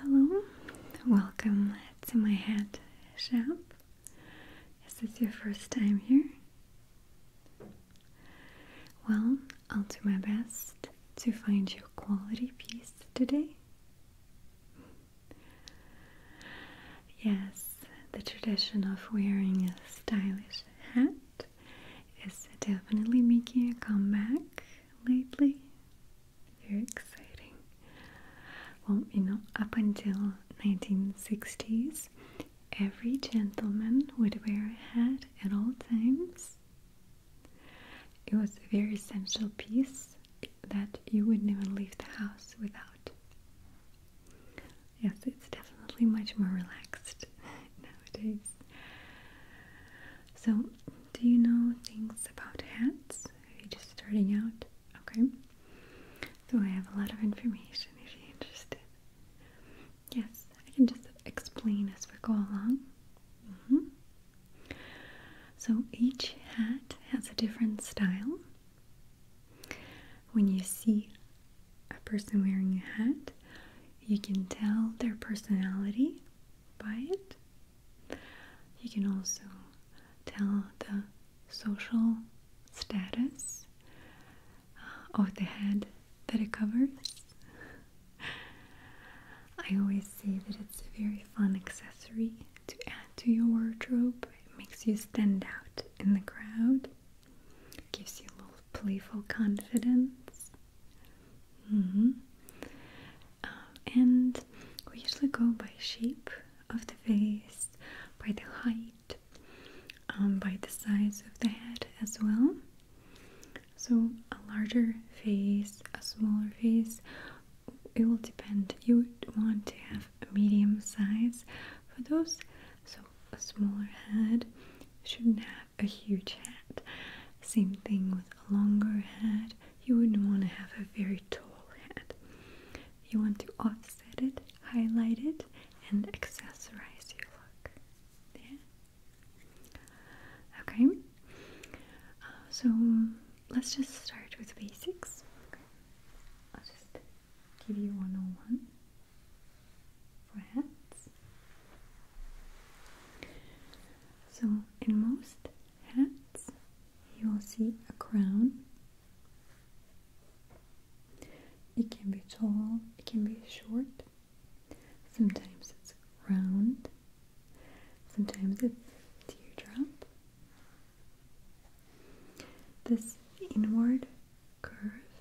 Hello, welcome to my hat shop. Is this your first time here? Well, I'll do my best to find you a quality piece today. Yes, the tradition of wearing a stylish hat is definitely making a comeback lately. Very exciting. Well, you know, up until 1960s, every gentleman would wear a hat at all times. It was a very essential piece that you wouldn't even leave the house without. Yes, it's definitely much more relaxed nowadays. So, do you know things about hats? Are you just starting out? Okay. So, I have a lot of information if you're interested. Yes, I can just explain as we go along. Mm-hmm. So, each hat has a different style. When you see a person wearing a hat, you can tell their personality by it. You can also tell the social status uh, of the head that it covers. I always say that it's a very fun accessory to add to your wardrobe. It makes you stand out in the crowd, it gives you a little playful confidence. Mm-hmm. Uh, and we usually go by shape of the face, by the height, um, by the size of the head as well. So, a larger face, a smaller face, it will depend. You want to have a medium size for those. So, a smaller head shouldn't have a huge head. Same thing with a longer head. You wouldn't want to have a very tall head. You want to offset it, highlight it, and accessorize your look. Yeah? Okay. Uh, so let's just start with basics. I'll just give you one for hats. So, in most hats, you will see a crown. It can be tall, it can be short. Sometimes it's round, sometimes it's teardrop. This inward curve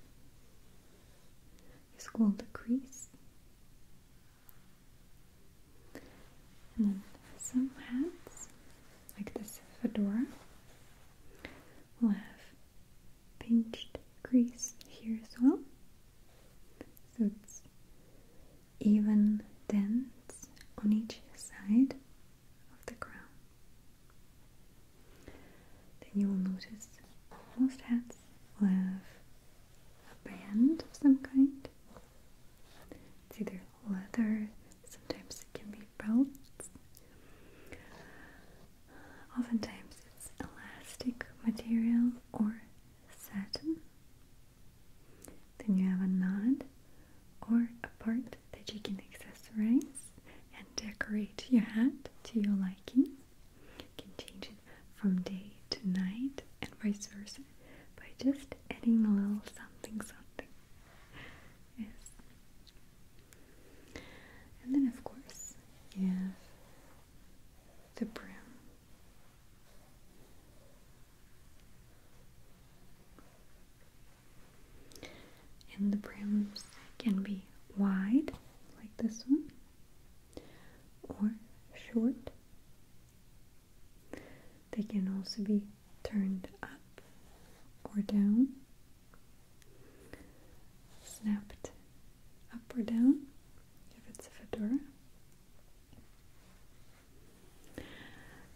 is called a crease. And then some hats, like this fedora, will have pinched crease here as well. So it's even dents on each side of the crown. Then you will notice most hats will have a band of some kind. It's either leather, sometimes it can be belts. Oftentimes it's elastic material or satin. Then you have a knot or a part that you can accessorize and decorate your hat to your liking. You can change from day to night and vice versa by just adding a little something something. Yes. And then of course yeah. the brim. And the brims can be wide, like this one, or short, they can also be turned up or down, snapped up or down if it's a fedora.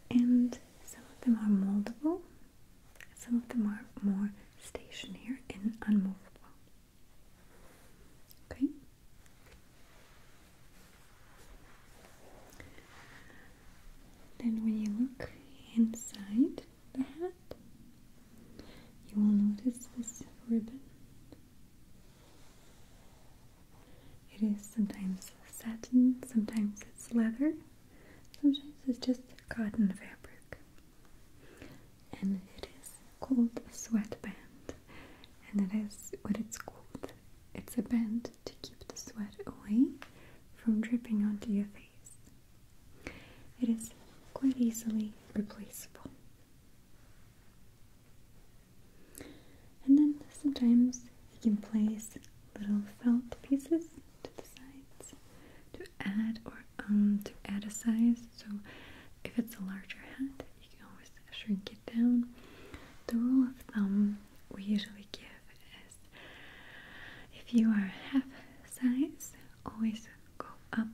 And some of them are moldable, some of them are more stationary and unmovable. Okay. Then, when you look inside the hat, you will notice this ribbon. It is sometimes satin, sometimes it's leather, sometimes it's just cotton fabric. And it is called a sweatband, and that is what it's called. It's a band to keep the sweat away from dripping onto your face. It is quite easily replaceable. And then sometimes you can place little felt pieces to the sides to add or um to add a size. So if it's a larger hat, you can always shrink it down. The rule of thumb we usually give is if you are half size, always go up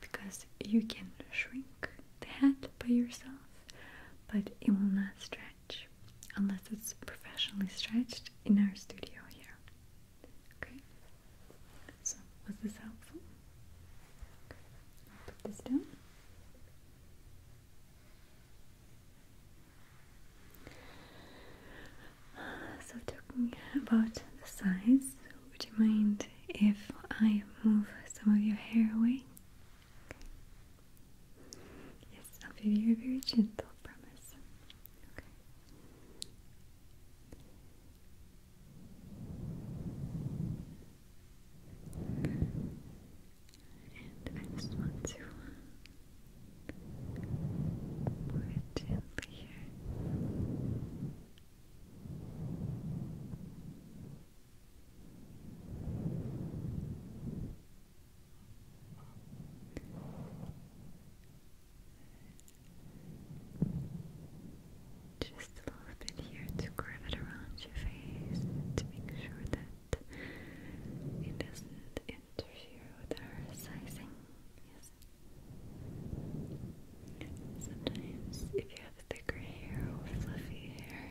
because you can shrink the head by yourself, but it will not stretch unless it's professionally stretched in our studio here. Okay, so was this helpful? Put this down. So, talking about the size, would you mind if I move some of your hair away? Yes, I'll be very, very gentle, promise. Okay. And I just want to pour it here. Just just a little bit here to curve it around your face to make sure that it doesn't interfere with our sizing. Yes. Sometimes, if you have thicker hair or fluffy hair,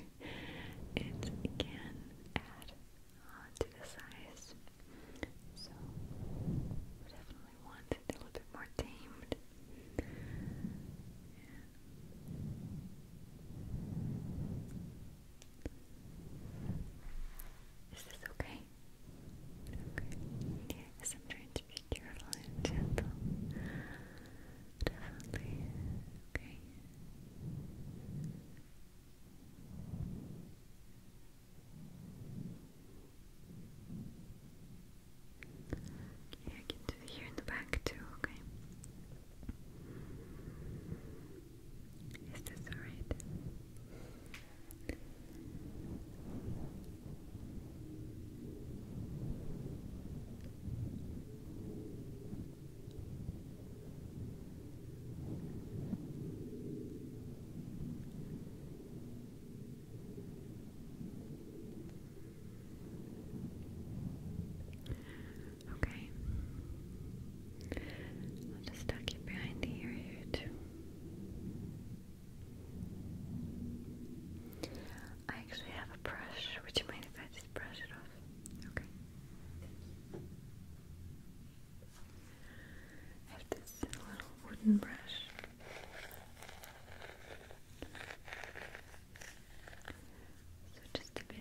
it can add to the size. So, definitely want a little bit more tamed. Is this okay? Okay. Yes, I'm trying to be careful and gentle. Definitely. Okay. Yeah, I can do here in the back too, okay? Is this alright? Okay. I'll just tuck it behind the ear here I actually have a brush. Would you mind if I just brush it off? Okay. I have this little wooden brush. So just a bit.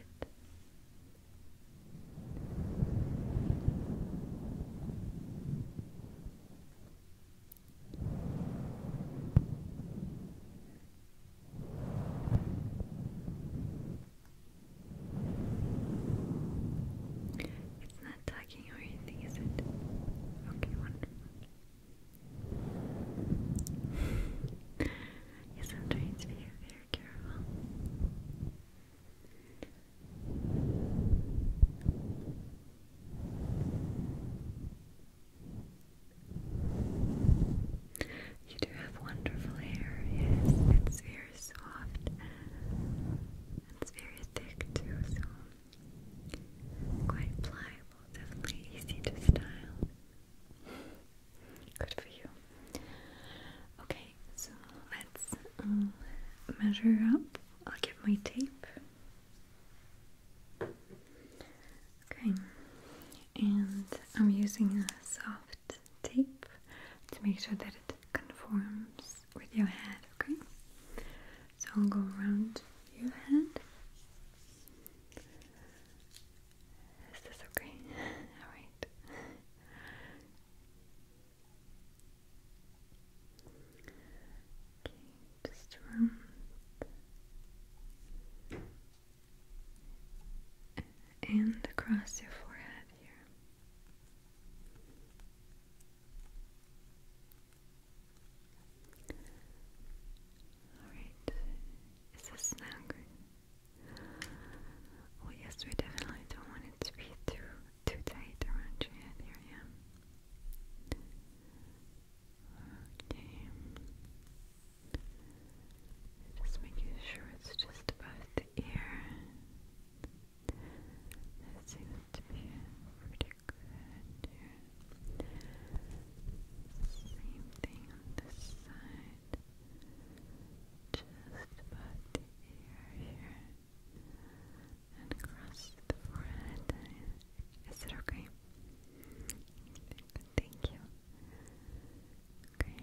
It's not tugging or anything, is it? Okay, wonderful yes, I'm trying to be very careful. You do have wonderful hair, yes, it's very soft. It's very thick too, so quite pliable, definitely easy to style. Good for you. Okay, so let's um, measure up. I'll get my tape. Okay, and I'm using a soft tape to make sure that it conforms with your head, okay? So I'll go around your head this okay? okay, just around um, and across your forehead here. Alright, is this now good? yes, we definitely don't want it to be too, too tight around your head area. Okay. Just making sure it's just above the ear. That seems to be pretty good same thing on this side. Just about the ear here. And across the forehead. Is it okay? Thank you. Okay.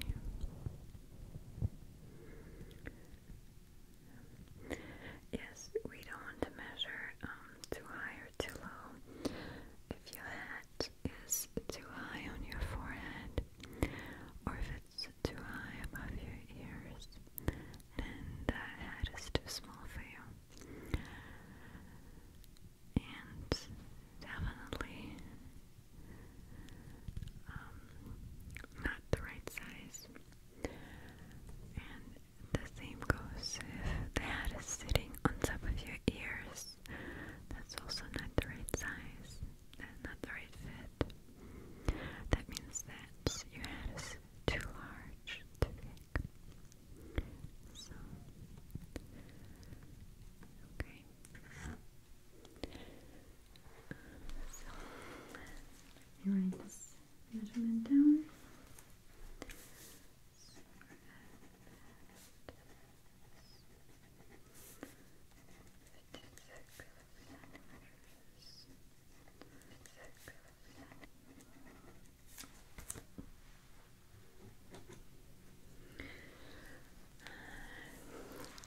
Yes, we don't want to measure um, too high or too low, if your hat is too high on your forehead, or if it's too high above your ears, then that hat is too small for you. And definitely um, not the right size. And the same goes if the hat is sitting on top of your ears. That's also not the right size and not the right fit. That means that your head is too large, too big. So, okay. So, let write this measurement down.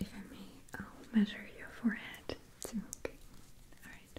If I may, I'll measure your forehead too. Okay. Alright.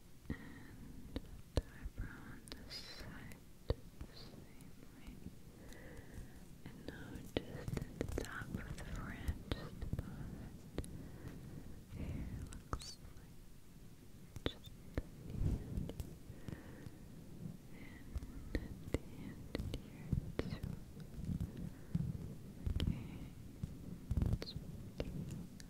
and the eyebrow on the side the same way. And notice that the top of the forehead just above looks like just And the end here too. Okay. It's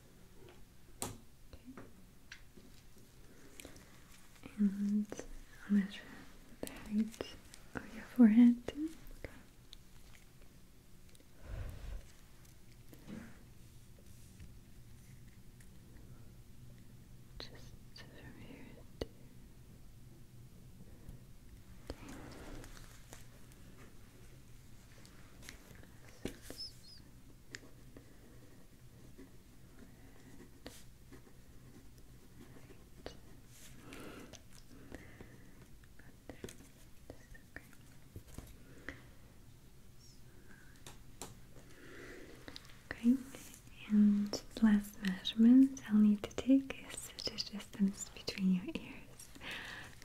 And I'll measure the height of your forehead too. Just from here to Okay, and last measurement I'll need to take is the distance between your ears.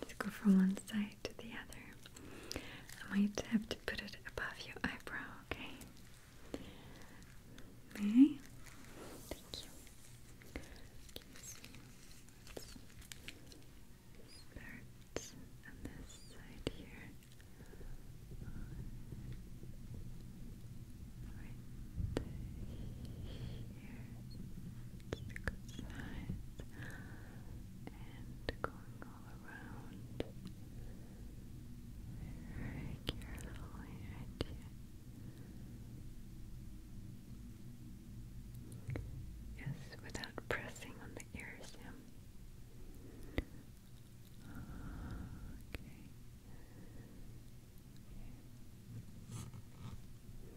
Let's go from one side to the other. I might have to put it above your eyebrow, okay? May Thank you. this side here. Right here. It's a good size and going all around very carefully you. Yes, without pressing on the ears, yeah.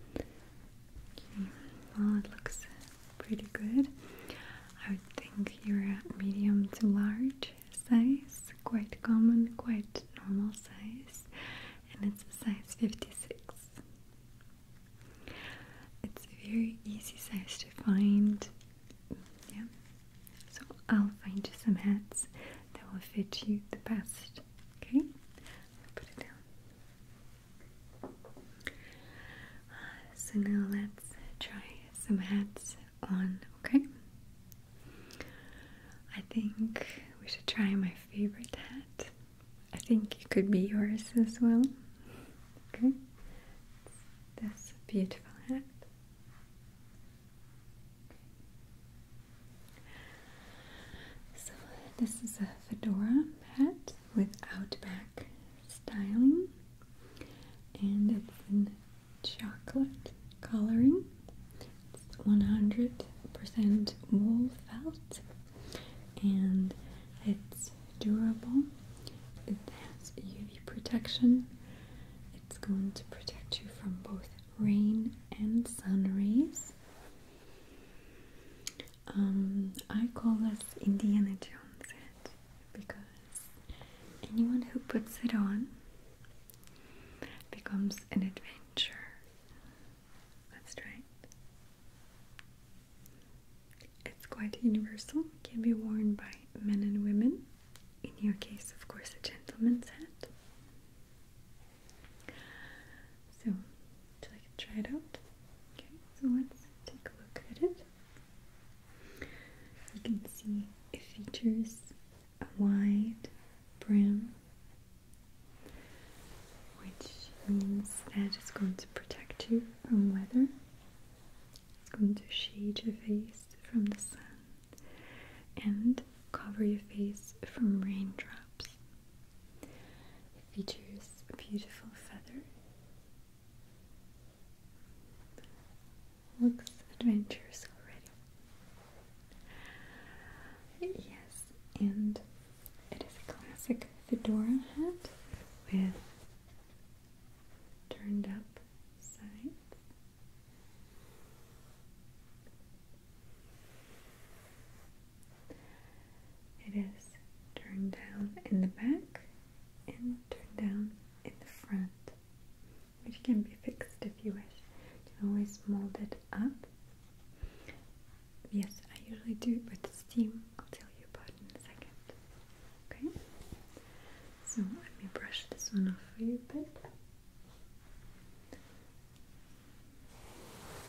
Okay. okay. Okay. Well, it looks pretty good. I would think you're a medium to large size, quite common, quite normal size, and it's a size 56. It's a very easy size to find. Yeah. So I'll find you some hats that will fit you the best. Okay? put it down so now let's try some hats on, okay? I think we should try my favorite hat. I think it could be yours as well. Okay? It's this beautiful hat. So, this is a fedora hat with Outback styling, and it's in chocolate coloring. It's 100% wool felt, and it's durable. It has UV protection. It's going to protect you from both rain and sun rays. Um, I call this Indiana Jones hat because anyone who puts it on becomes an adventurer. That's right. It's quite universal, can be worn by men and women. In your case, of course, a gentleman's hat. So, would you to try it out? Okay, so let's take a look at it. You can see it features a wide brim, which means that it's going to protect you from weather. It's going to shade your face from the sun and cover your face from raindrops. It features a beautiful feather. Looks adventurous already. Yes, and it is a classic fedora hat with turned up sides. It is turned down in the back and turned down in the front, which can be fixed if you wish. You can always mold it up. Yes, I usually do it with steam. I'll tell you about in a second. Okay? So let me brush this one off for you a bit.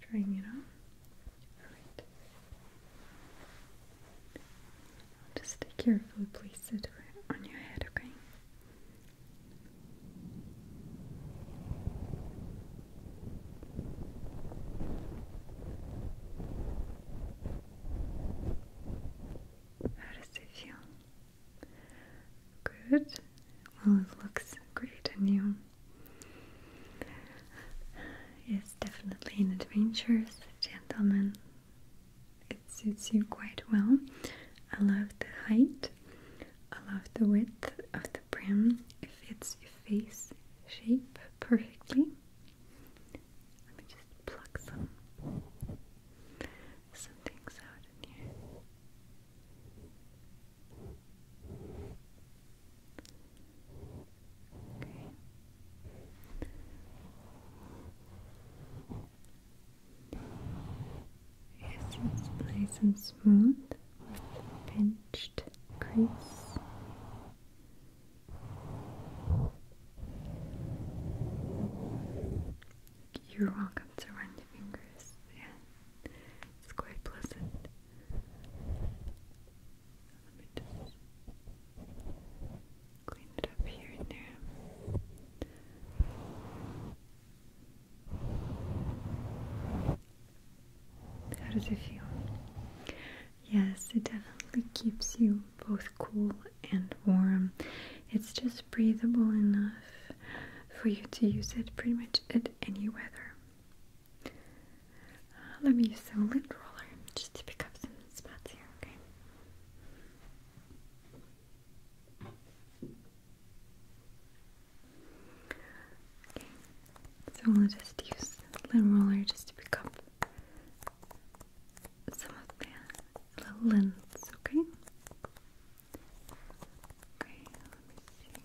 Trying it on. Alright. Just carefully place it on your head, okay? How does it feel? Good. Well, it looks great on you. It's definitely an adventurous gentleman. It suits you quite well. I love the height. I love the width of the brim. It fits your face shape perfectly. Let me just pluck some some out in here. Yes, it's nice and smooth with pinched crease. You're welcome to run your fingers. Yeah. It's quite pleasant. Let me just clean it up here and there. How does it feel? Yes, it definitely keeps you both cool and warm. It's just breathable enough for you to use it pretty much at any weather. Uh, let me use some lint roller just to pick up some spots here, okay? so we'll just use lint roller just to pick up some of the little lint, okay? Okay, let me see. Okay.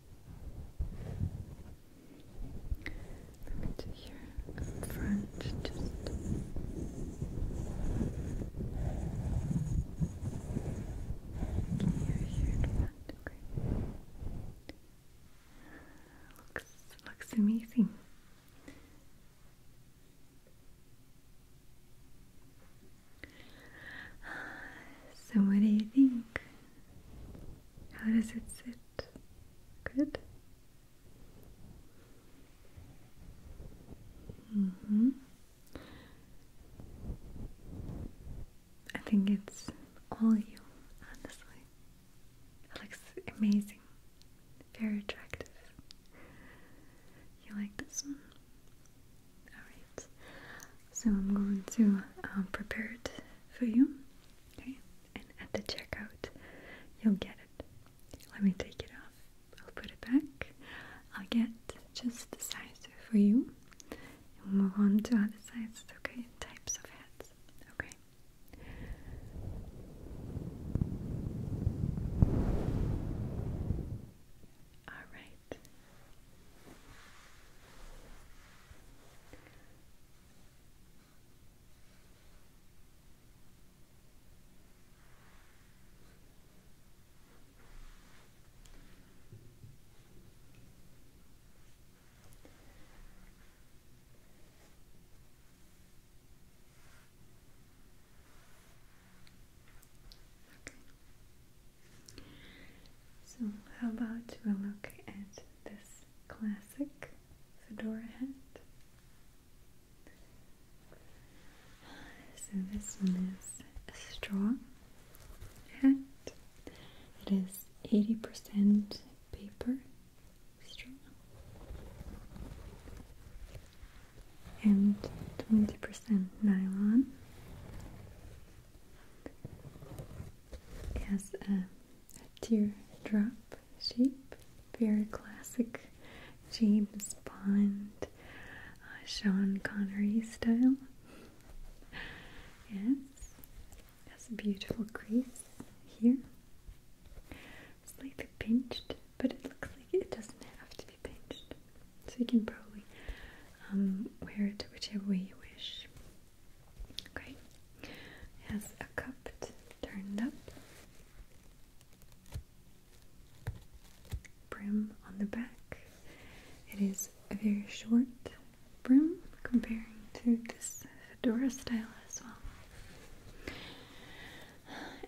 Let me do here front, just making your here front, okay. Looks looks amazing. So, what do you think? How does it sit? Good. Mm-hmm. I think it's all you, honestly. It looks amazing, very attractive. You like this one? Alright. So I'm going to um, prepare it for you. and at the checkout, you'll get it. Let me take it off. I'll put it back. I'll get just the size for you. And we'll move on to other sizes. Okay, types of hats. Okay. All right it. Okay. So, how about we look at this classic fedora hat? So, this one is a straw hat, it is 80% paper straw and 20% nylon it has a, a teardrop shape, very classic James Bond, uh, Sean Connery style. Yes, has a beautiful crease here. Slightly pinched, but it looks like it doesn't have to be pinched. So you can probably um, wear it whichever way you wish has a cup turned up, brim on the back. It is a very short brim comparing to this fedora style as well.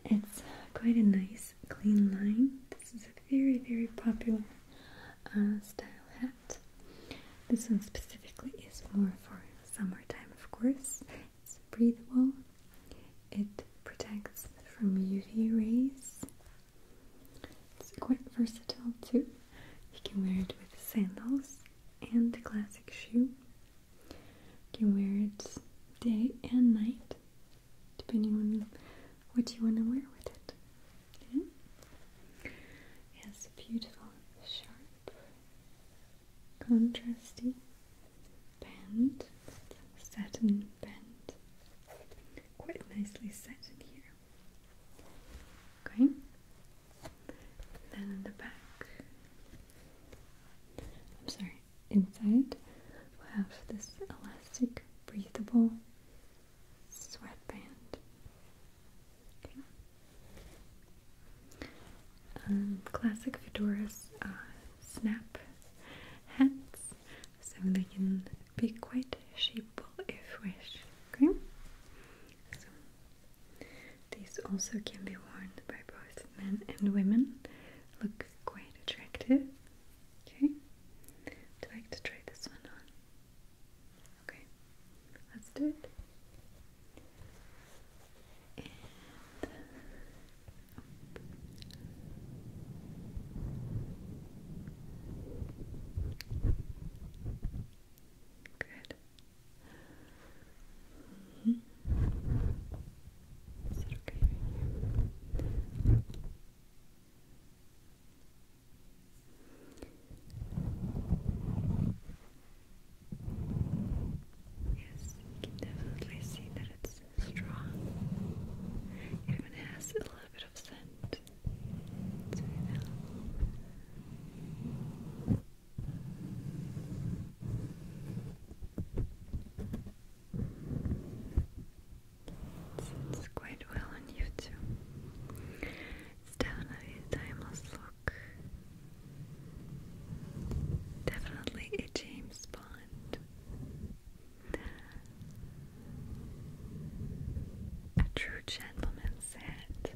It's quite a nice clean line. This is a very, very popular uh, style hat. This one specifically is more for summertime, of course. It's breathable, it protects from UV rays. It's quite versatile too. You can wear it with sandals and a classic shoe. You can wear it day and night, depending on what you want to wear with it. Okay. Yes, beautiful, sharp, contrasty band, satin band, quite nicely set in here. Okay. Then in the back, I'm sorry, inside we have this elastic, breathable sweatband. Um, classic fedoras uh, snap hats, so they can be quite shapeable if wished. Okay. So these also can be worn by both men and women. Look quite attractive. Okay. Would you like to try this one on? Okay, let's do it. Good. Mm-hmm. Is it okay Yes, you can definitely see that it's strong. Even has a little bit of scent. So quite well on you too. It's definitely a timeless look. Definitely a James Bond. A true gentleman's hat.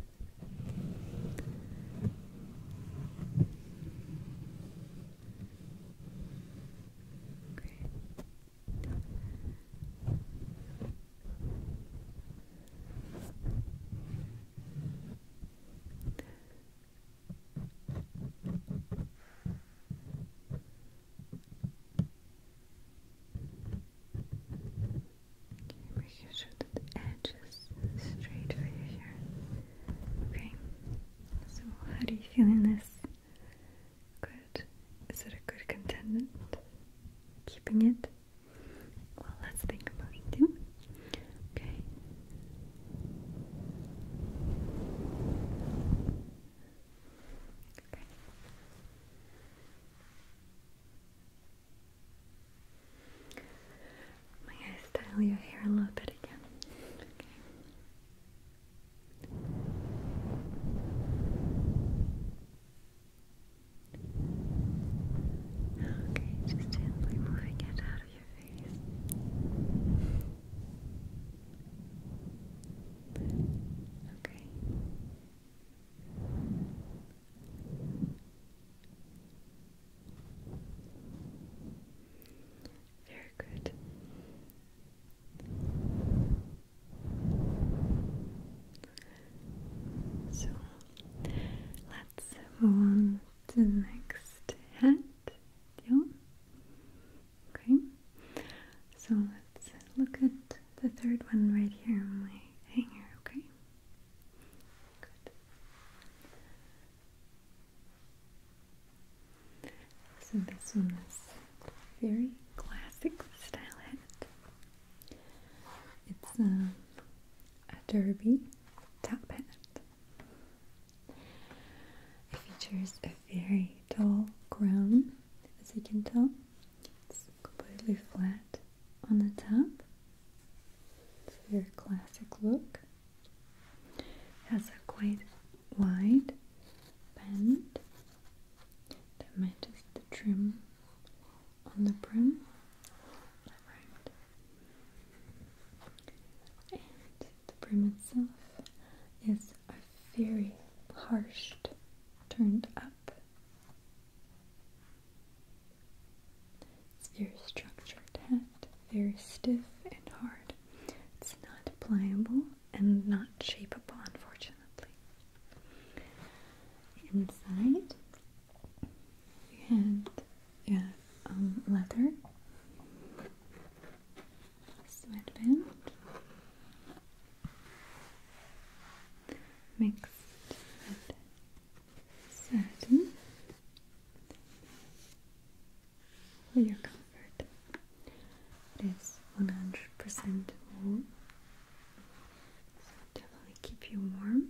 Making sure that the edge straight for you here. Okay. So how do you feel in this? Good. Is it a good contendant? Keeping it? Well, let's think about it. Okay. Okay. May I style your hair a little bit again? Okay. Okay, just simply moving it out of your face. Okay. Very good. So let's move on to the next hat. Deal? Okay. So let's look at the third one right here on my hanger, okay? Good. So this one is very classic style hat. It's um, a derby top hat. It features a very tall crown, as you can tell. It's completely flat on the top. It's a very classic look. It has a quite wide bend that matches the trim on the brim. And the brim itself is a very harsh, turned up. It's very structured and very stiff and hard. It's not pliable and not shapeable, unfortunately. Inside, you yeah, um, leather sweatband mixed with satin for your comfort. It is one hundred percent wool definitely keep you warm.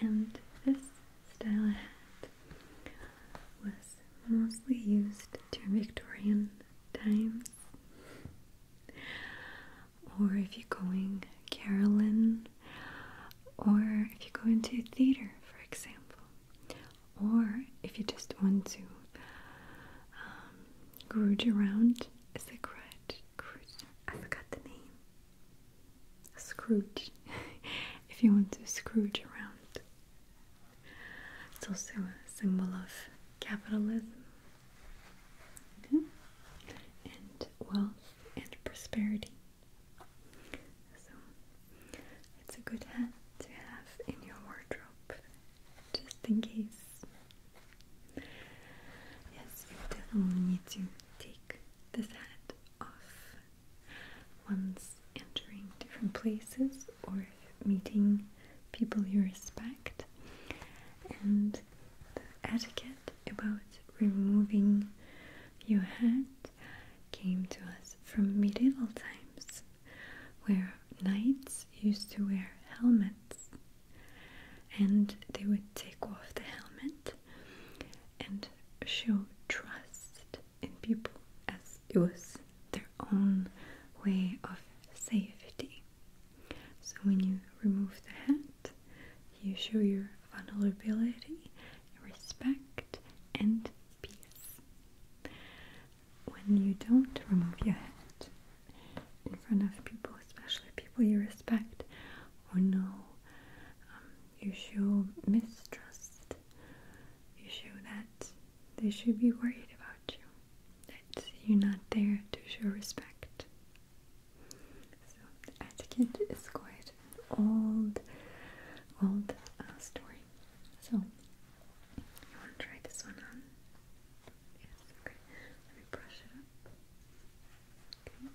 And this style hat was mostly used during Victorian times. Or if you're going Carolyn, or if you go into theater, for example, or if you just want to um, around is a grudge, I forgot the name Scrooge if you want to scrooge around it's also a symbol of capitalism and wealth and prosperity so it's a good hat to have in your wardrobe just in case. Yes, you definitely need to take this hat off once entering different places or meeting people you respect. And the etiquette about removing your hat came to us from medieval times where knights used to wear helmets and they would take off the helmet and show trust in people as it was their own way of safety. So when you remove the hat, you show your vulnerability, respect, and peace when you don't remove your hat in front of people, especially people you respect or know, um, you show mistrust. You show that they should be worried about you, that you're not there to show respect. So etiquette is quite an old, old uh, story. So you want to try this one on? Yes, okay. Let me brush it up. Okay.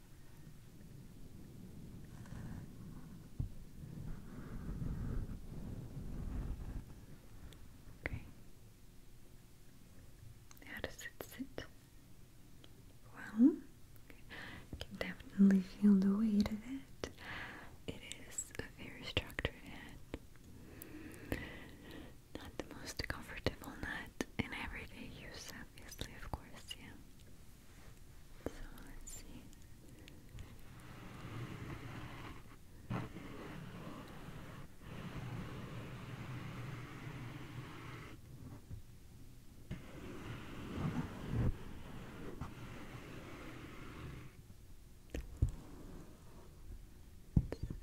Okay. How does it sit? Well, you can definitely feel the weight of it. It is a very structured head. Not the most comfortable nut in everyday use, obviously, of course, yeah. So let's see.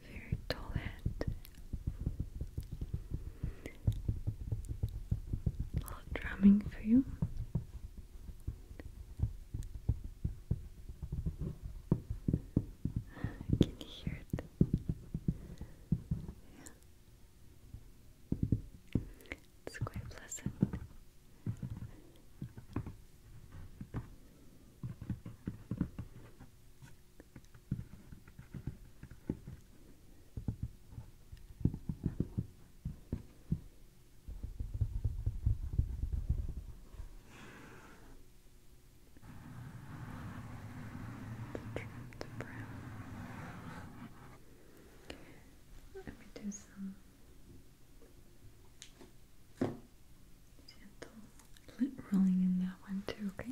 very tall head. A little drumming for you. I can hear it. Yeah. It's quite pleasant. Trim the brow. Let me do some gentle rolling in that one too, okay?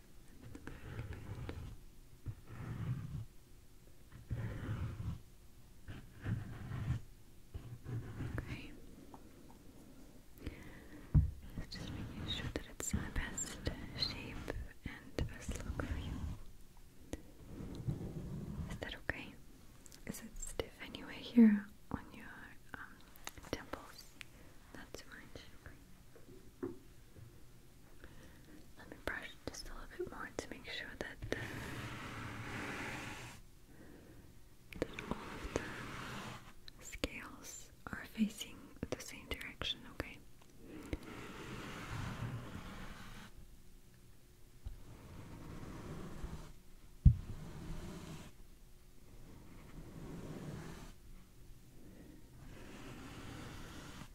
Okay. Just making sure that it's the best shape and best look for you. Is that okay? Is it stiff anyway here on your um, temples? Not too Let me brush just a little bit more to make sure that all of the scales are facing the same direction, Okay.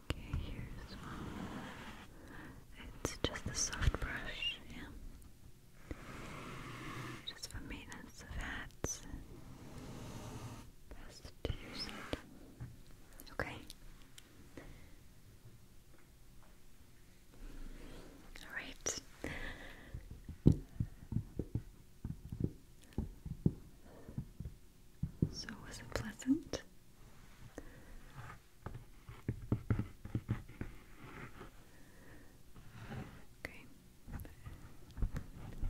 Okay, here's It's just a soft brush, Just for maintenance of hats. Best to use it. Okay. Alright. So, was it pleasant? Okay.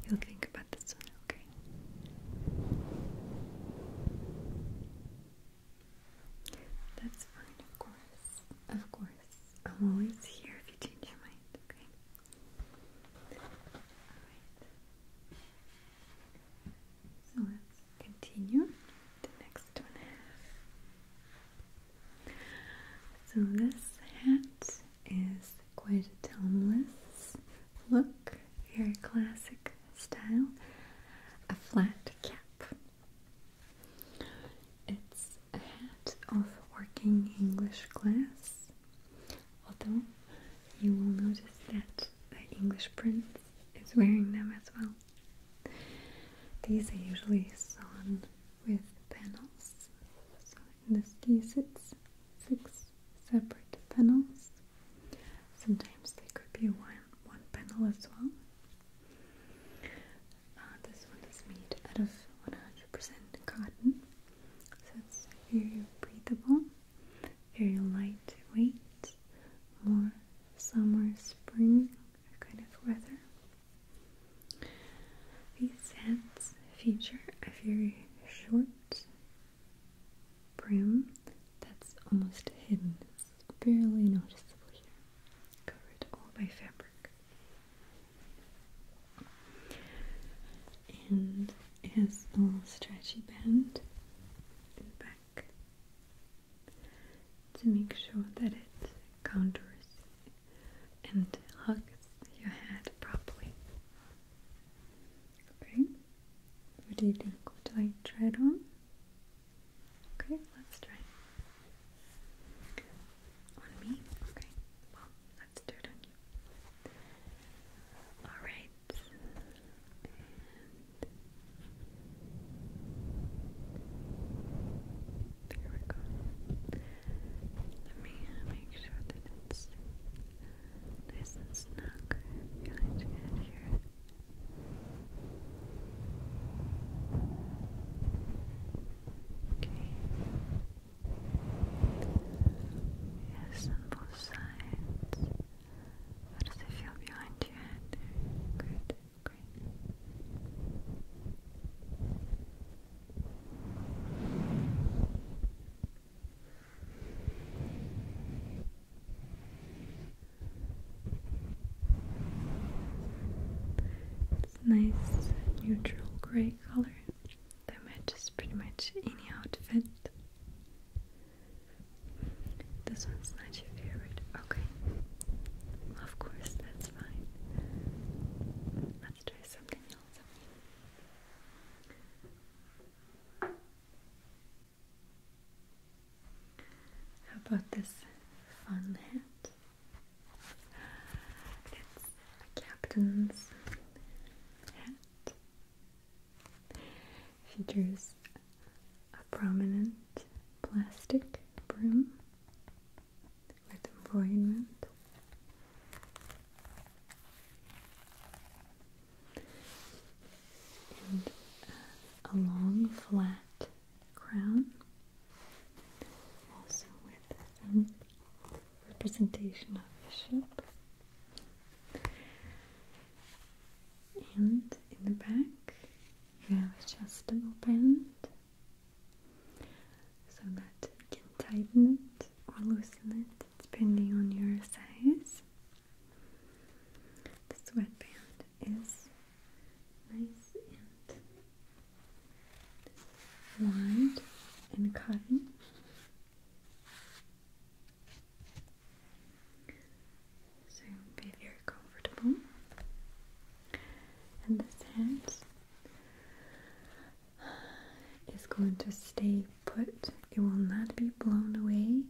You'll think about this one, okay? That's fine, of course. Of course. I'm always here if you change your mind, okay? Alright. So let's continue the next one. So this hat is quite a timeless look, very classic style. A flat cap. It's a hat of working English class although you will notice that the English prince is wearing them as well. These are usually sewn with panels, so in this case it's six separate panels. Sometimes they could be one, one panel as well. Uh, this one is made out of 100% cotton, so it's very breathable very lightweight, more summer, spring kind of weather. These hats feature a very short brim that's almost hidden, barely noticeable here, covered all by fabric and it has a little stretchy band in the back to make sure that it contours and hugs your head properly. Okay, what do you think? Do I try it on? Okay, let's try it. On me? Okay, well, let's do it on you. Alright, and there we go. Let me make sure that it's nice and snug behind here. Okay. Yes, on both sides. How does it feel behind your head Good, great. nice neutral gray color. They matches pretty much any outfit. This one's not your favorite. Okay. of course, that's fine. Let's try something else. How about this fun hat? It's captain's hat. Features a prominent plastic brim with embroiderment. And a long flat crown, also with some representation of the bishop and in the back you have a adjustable band so that you can tighten it or loosen it depending on your size the sweatband is nice and wide and cotton so be very comfortable. And this hand is going to stay put. It will not be blown away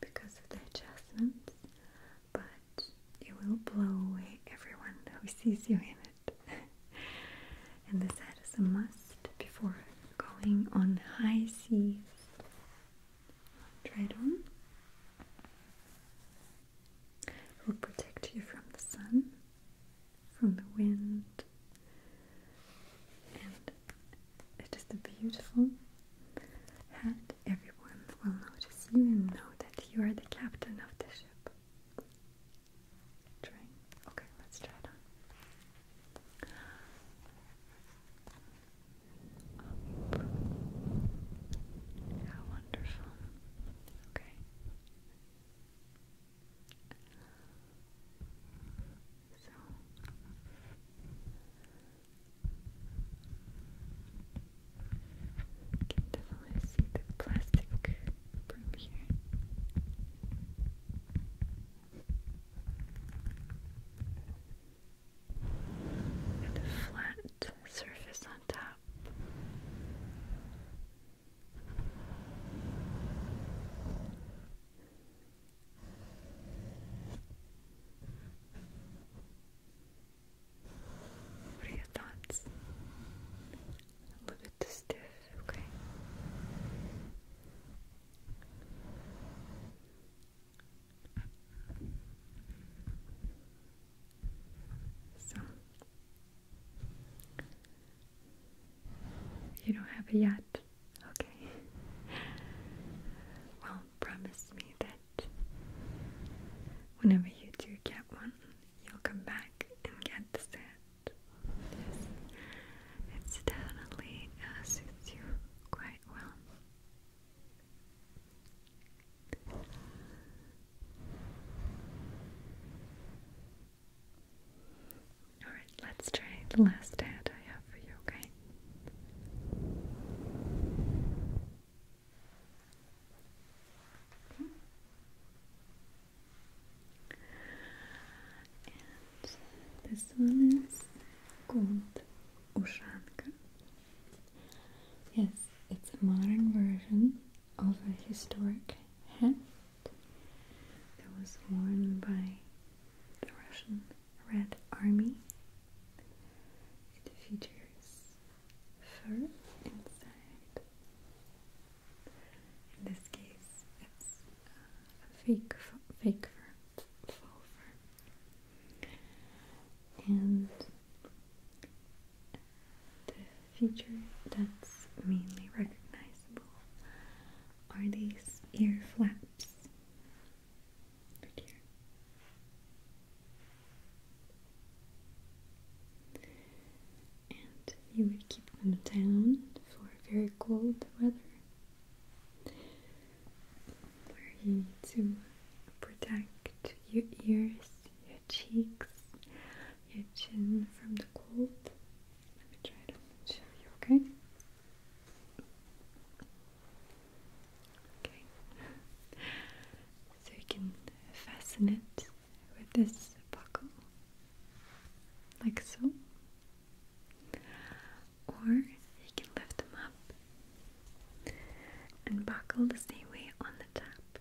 because of the adjustments, but it will blow away everyone who sees you in it. and the set is a must before going on high seas. Try it on. It will protect you from the sun, from the wind, and it is a beautiful hat. Everyone will notice you and know that you are the captain of the ship. Trying. Okay, let's try it on. How wonderful. Okay. So you can definitely see the plastic from here flat surface on top. What are your thoughts? A little bit too stiff, okay you don't have a yet. Okay. Well, promise me that whenever you do get one, you'll come back and get the set. Yes, it's definitely uh, suits you quite well. Alright, let's try the last ad I have for you, okay? this one is called Ushanka. Yes, it's a modern version of a historic hat that was worn by the Russian Red Army. It features fur inside. In this case, fake fake fur, And the feature that's mainly recognizable are these ear flaps And you would keep them down for very cold weather where you to protect your ears, your cheeks, your chin from the cold. Let me try to show you, okay? Okay. So you can fasten it with this buckle, like so. Or you can lift them up and buckle the same on the top.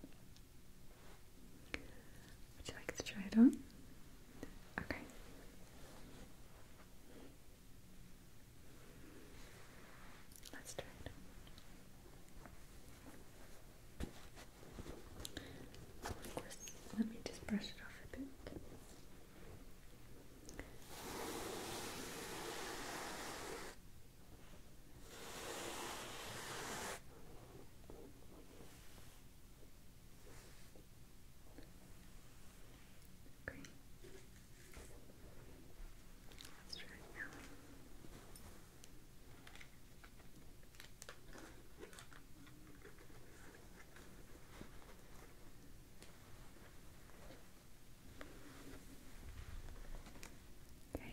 Would you like to try it on? Okay. Let's try it. let me just brush it off a bit. Great. Let's try it now. Okay.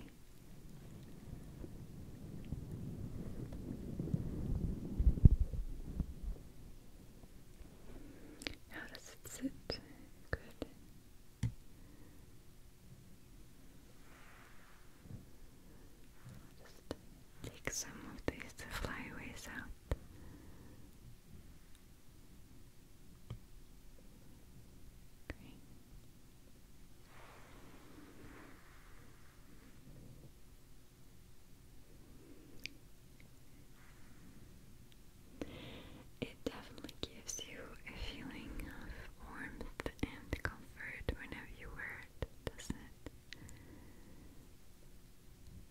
How does it Good. just take some of these flyaways out. Great. It definitely gives you a feeling of warmth and comfort whenever you wear it, doesn't it?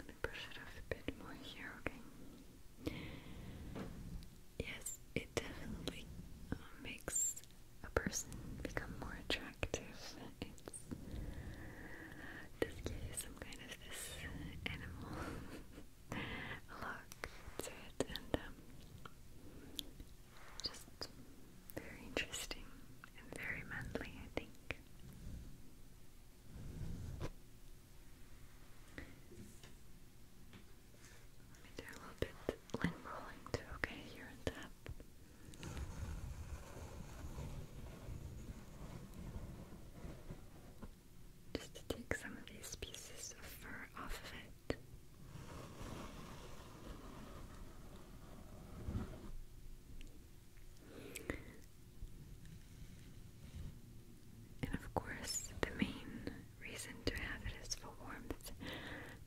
a bit more here, okay? Yes, it definitely uh, makes a person become more attractive. It's does give some kind of this animal look to it, and um, just very interesting and very manly, I think. Let me do a little bit lint rolling too, okay, here and tap. Just to take some of these pieces of fur off of it. And of course, the main reason to have it is for warmth,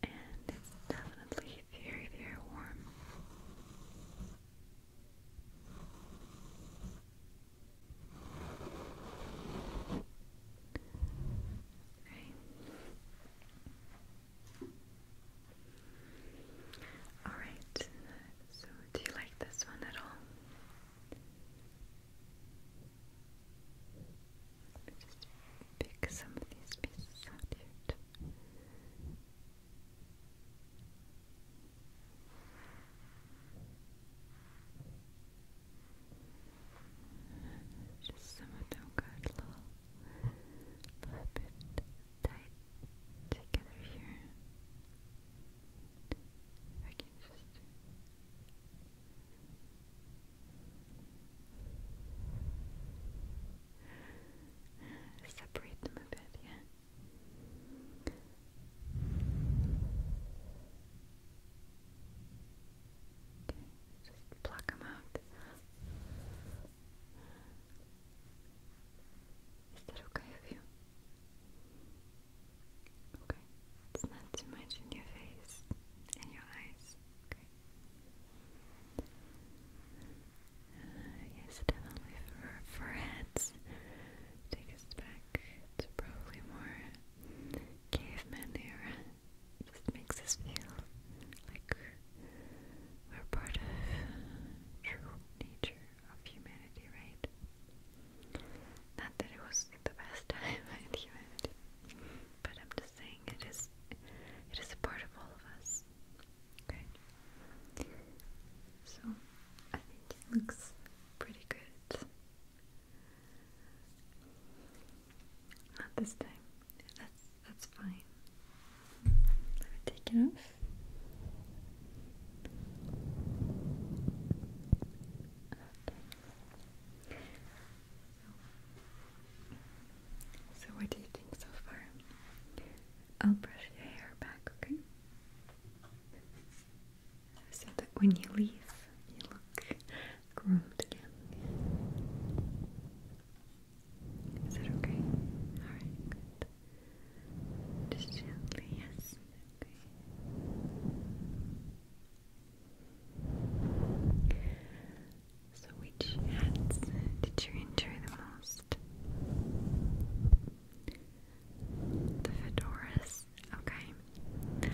and it's definitely very, very warm. Right. All right, so, do you like this one at all? Just pick some of these pieces out here. Just some of them got a little, little bit tight together here. I can separate them a bit, yeah. Okay, just pluck them out. Is that okay with you? Okay, it's not too much in your face and your eyes. Okay. Uh, yes, definitely for foreheads. Take us back to probably more caveman era. just makes us feel like we're part of true nature of humanity, right? Not that it was the best time in humanity, but I'm just saying it is it is a part of all of us. Okay. So I think it looks pretty good. Not this time. That's that's fine. Let me take it off. So, what do you think so far? I'll brush your hair back, okay? So that when you leave, you look groomed again. Is that okay? Alright, good. Just gently, yes. So, which hats did you enjoy the most? The fedoras. Okay.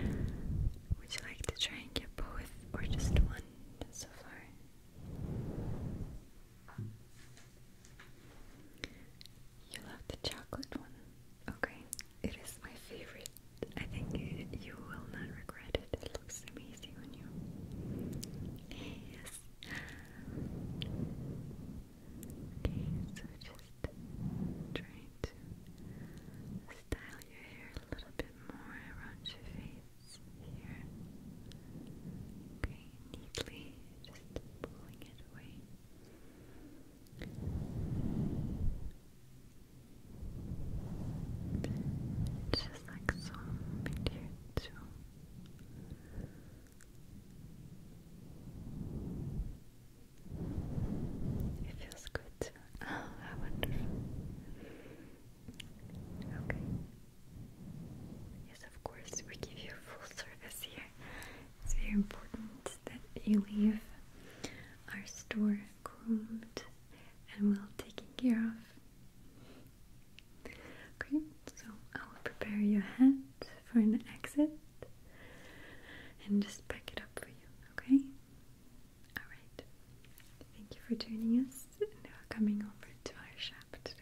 Would you like to try and get both or just one so far? You love the chocolate one. Okay, it is my favorite. I think you will not regret it. It looks amazing on you. Yes. Okay, so just trying to style your hair a little bit more around your face here. Okay, neatly, just pulling it away. Just like so in It feels good Oh, ah, how wonderful. Okay. Yes, of course, we give you full service here. It's very important that you leave our store groomed and well taken care of. Okay, so I will prepare your hat for an exit and just pack it up for you, okay? Alright, thank you for joining us and for coming over to our shop today.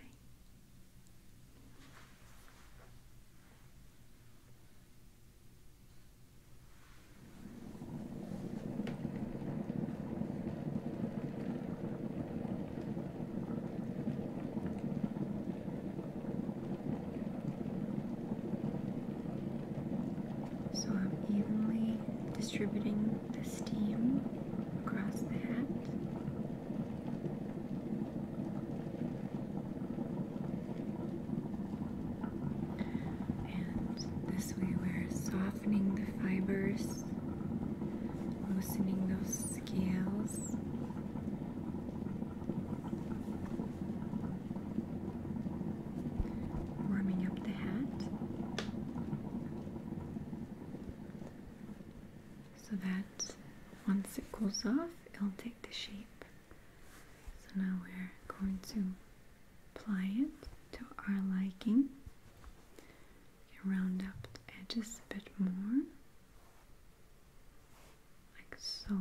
So I'm evenly distributing the steam across the hat. And this way we're softening the fibers, loosening those scales. Warming up the hat so that once it cools off, it'll take the shape so now we're going to apply it to our liking. You round up the edges a bit more, like so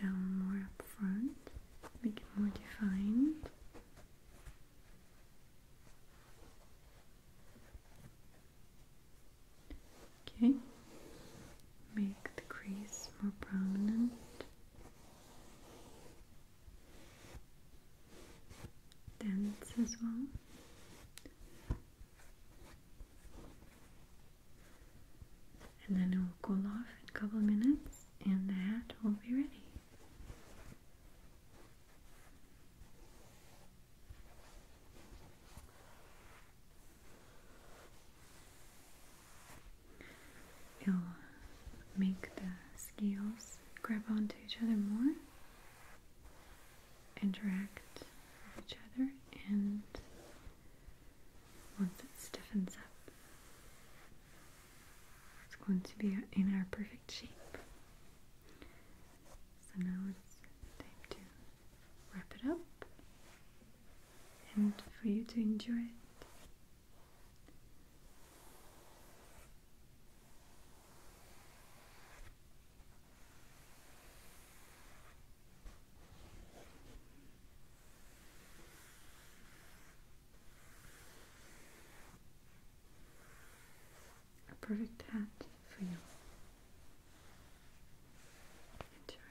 down more up front, make it more defined. Okay, make the crease more prominent. Dense as well and then it will cool off in a couple of minutes and that will be ready. It'll make the scales grab onto each other more, interact with each other, and once it stiffens up, it's going to be in our perfect shape. So now it's time to wrap it up and for you to enjoy it. A perfect hat for you. Enjoy.